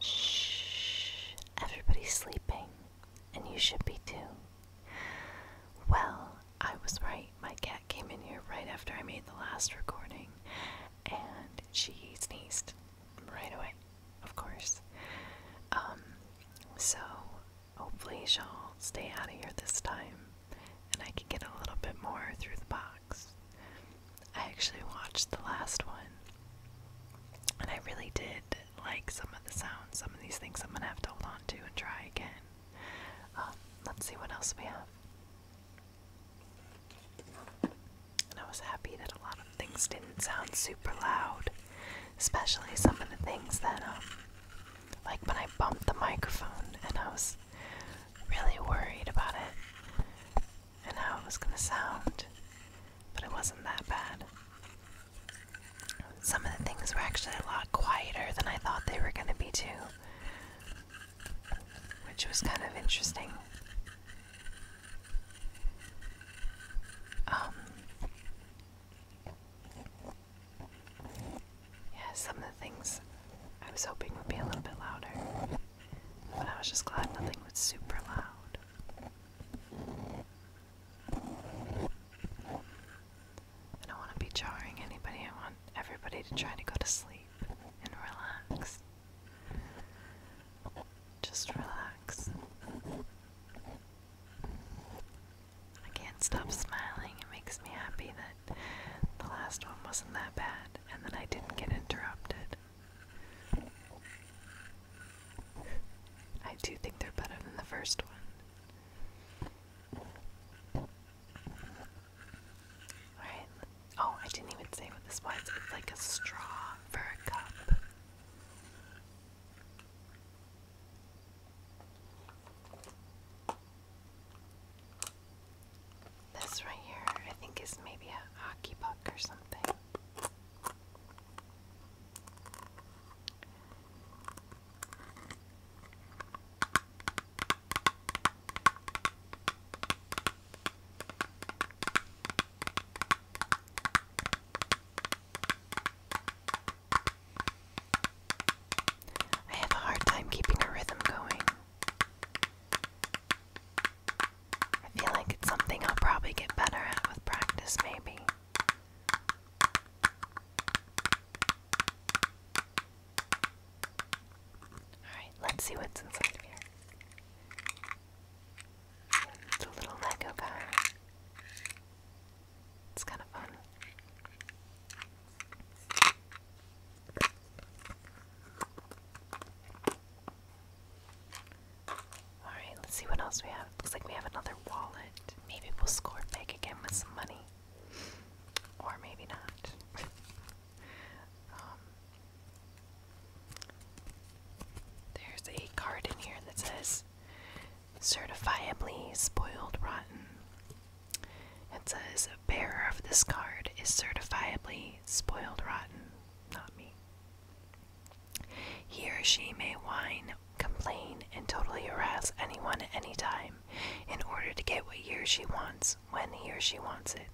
Shh, everybody's sleeping, and you should be too. Well, I was right. My cat came in here right after I made the last recording, and she sneezed right away, of course. Um, so hopefully you will stay out of here this time, and I can get a little bit more through the box. I actually watched the last one, and I really did like some of the sounds. Some of these things I'm gonna have to hold on to and try again. Um, let's see what else we have. And I was happy that a lot of things didn't sound super loud, especially some of the things that, um, like when I bumped the microphone and I was really worried about it and how it was going to sound, but it wasn't that bad. Some of the things were actually a lot quieter than I thought they were going to be, too, which was kind of interesting. Um, yeah, some of the things I was hoping would be a little bit louder. But I was just glad nothing was super loud. I don't want to be jarring anybody. I want everybody to try to go to sleep and relax. Just relax. I can't stop smiling. It makes me happy that the last one wasn't that bad and then I didn't get interrupted. I do think they're better than the first one. Alright. Oh, I didn't even say what this was. It's like a straw for a cup. This right here, I think, is maybe a hockey puck or something. I have a hard time keeping a rhythm going. I feel like it's something I'll probably get better at with practice, maybe. Alright, let's see what's inside of here. It's a little Lego guy. It's kind of fun. Alright, let's see what else we have. Looks like we have another wallet. Maybe we'll score big again with some money. Or maybe not. Um, there's a card in here that says certifiably spoiled rotten. It says bearer of this card is certifiably spoiled rotten, not me. He or she may whine, complain, and totally harass anyone at any time in order to get what he or she wants when he or she wants it,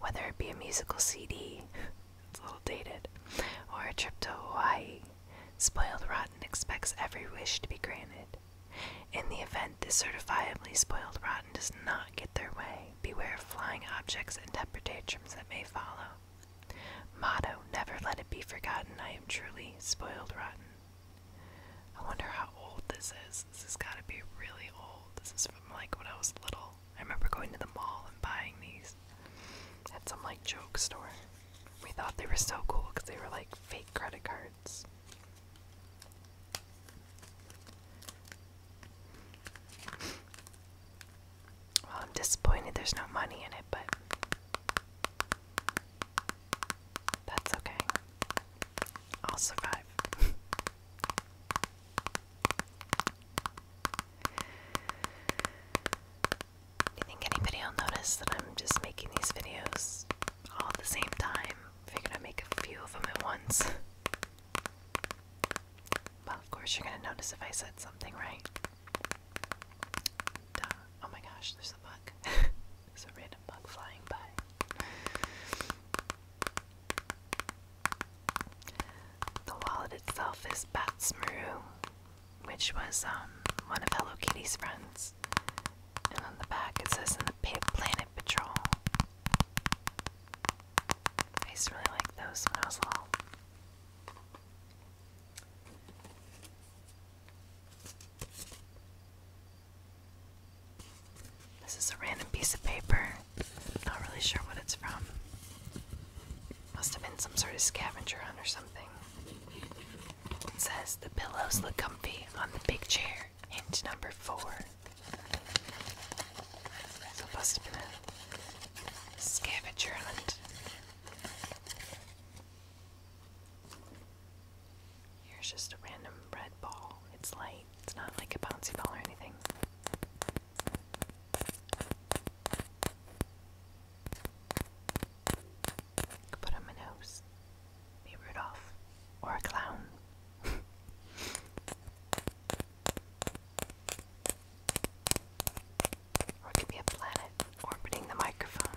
whether it be a musical CD, it's a little dated, or a trip to Hawaii. Spoiled Rotten expects every wish to be granted. In the event this certifiably spoiled rotten does not get their way, beware of flying objects and tempertatrums that may follow. Motto, never let it be forgotten, I am truly spoiled rotten. I wonder how old this is. This has got to be really old. This is from like when I was little. I remember going to the mall and buying these at some like joke store. We thought they were so cool because they were like fake credit cards. Well, I'm disappointed there's no money in it, but that's okay. I'll survive. Do you think anybody will notice that I'm just making these videos all the same time? I'm gonna make a few of them at once. Well, of course, you're gonna notice if I said something, right? Oh my gosh, there's a bug. there's a random bug flying by. The wallet itself is Bats Maru, which was um, one of Hello Kitty's friends. And on the back it says in the Planet Patrol I used to really like those when I was little. This is a random piece of paper. Not really sure what it's from. Must have been some sort of scavenger hunt or something. It says the pillows look comfy on the big chair. Hint number four. So it a scavenger hunt. Here's just a random red ball. It's light. It's not like a bouncy ball or anything. Put on my nose be Rudolph or a clown. or it could be a planet orbiting the microphone.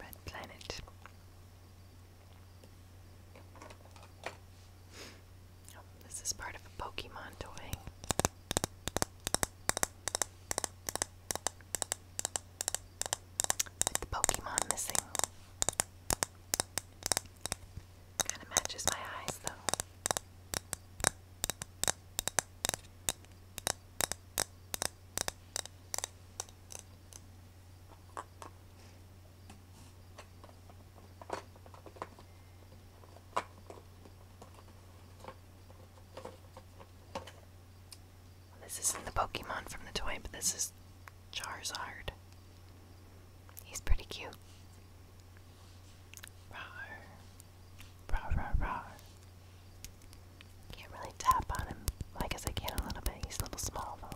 Red planet. Oh, this is part of a Pokemon toy. With the Pokemon missing. Kind of matches my eyes though. This isn't the Pokemon from the toy, but this is Charizard. He's pretty cute. Rawr. Rawr, rawr, rawr. Can't really tap on him. I guess I can a little bit. He's a little small, though.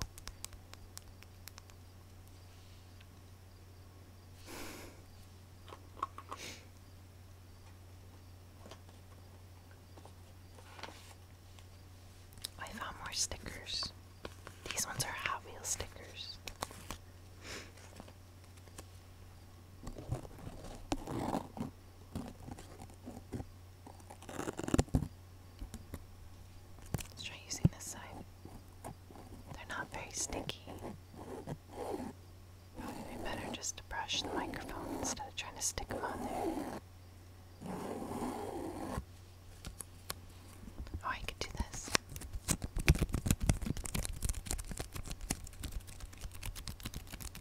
I found more stickers. These ones are Hot Wheels stickers. Let's try using this side. They're not very sticky. It would be better just to brush the microphone instead of trying to stick them on there. Oh, I could do this.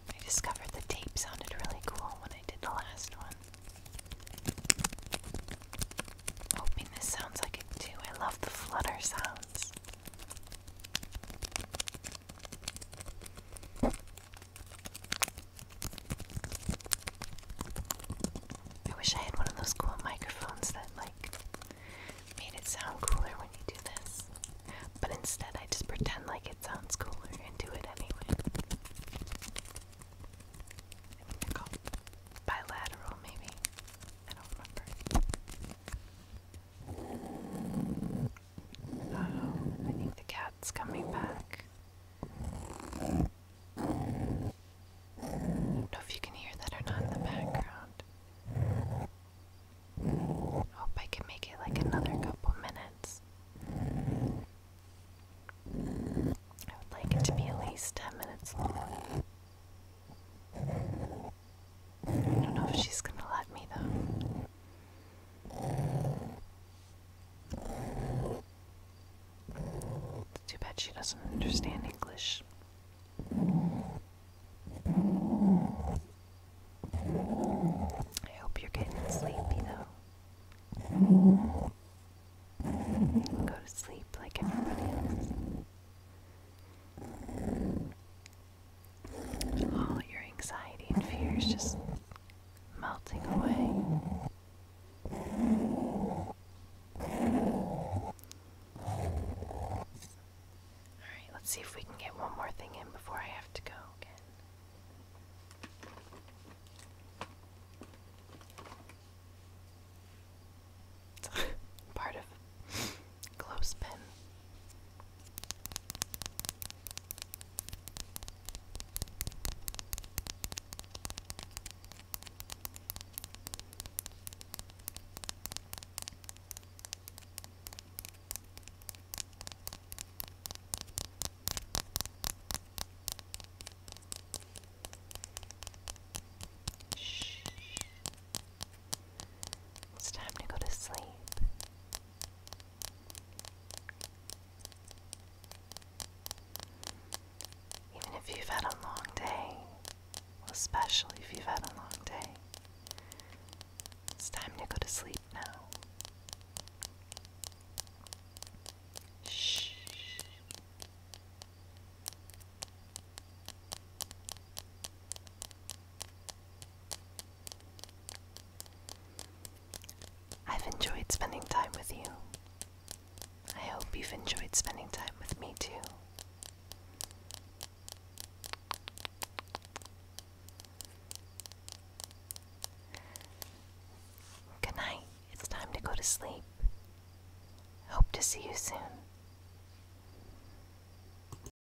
I discovered the tape sounded really cool when I did the last one. hoping this sounds like it too. I love the flutter sounds. I wish I had one of those cool microphones that like made it sound cooler when you do this. But instead I just pretend like it sounds cooler and do it anyway. bilateral maybe. I don't remember. Um, I think the cat's coming back. don't know if you can hear that or not in the background. Hope I can make it like another couple minutes. I would like it to be at least 10 minutes long. I don't know if she's gonna let me though. too bad she doesn't understand English. I hope you're getting sleepy though. go to sleep like everybody else. All oh, your anxiety and fears just melting away. Alright, let's see if we can get one more thing in before I have to go again. Part of close pen. It's time to go to sleep. Even if you've had a long day, especially if you've had a long day, it's time to go to sleep now. Shh. I've enjoyed spending time with you. I hope you've enjoyed spending time with me too. Good night. It's time to go to sleep. Hope to see you soon.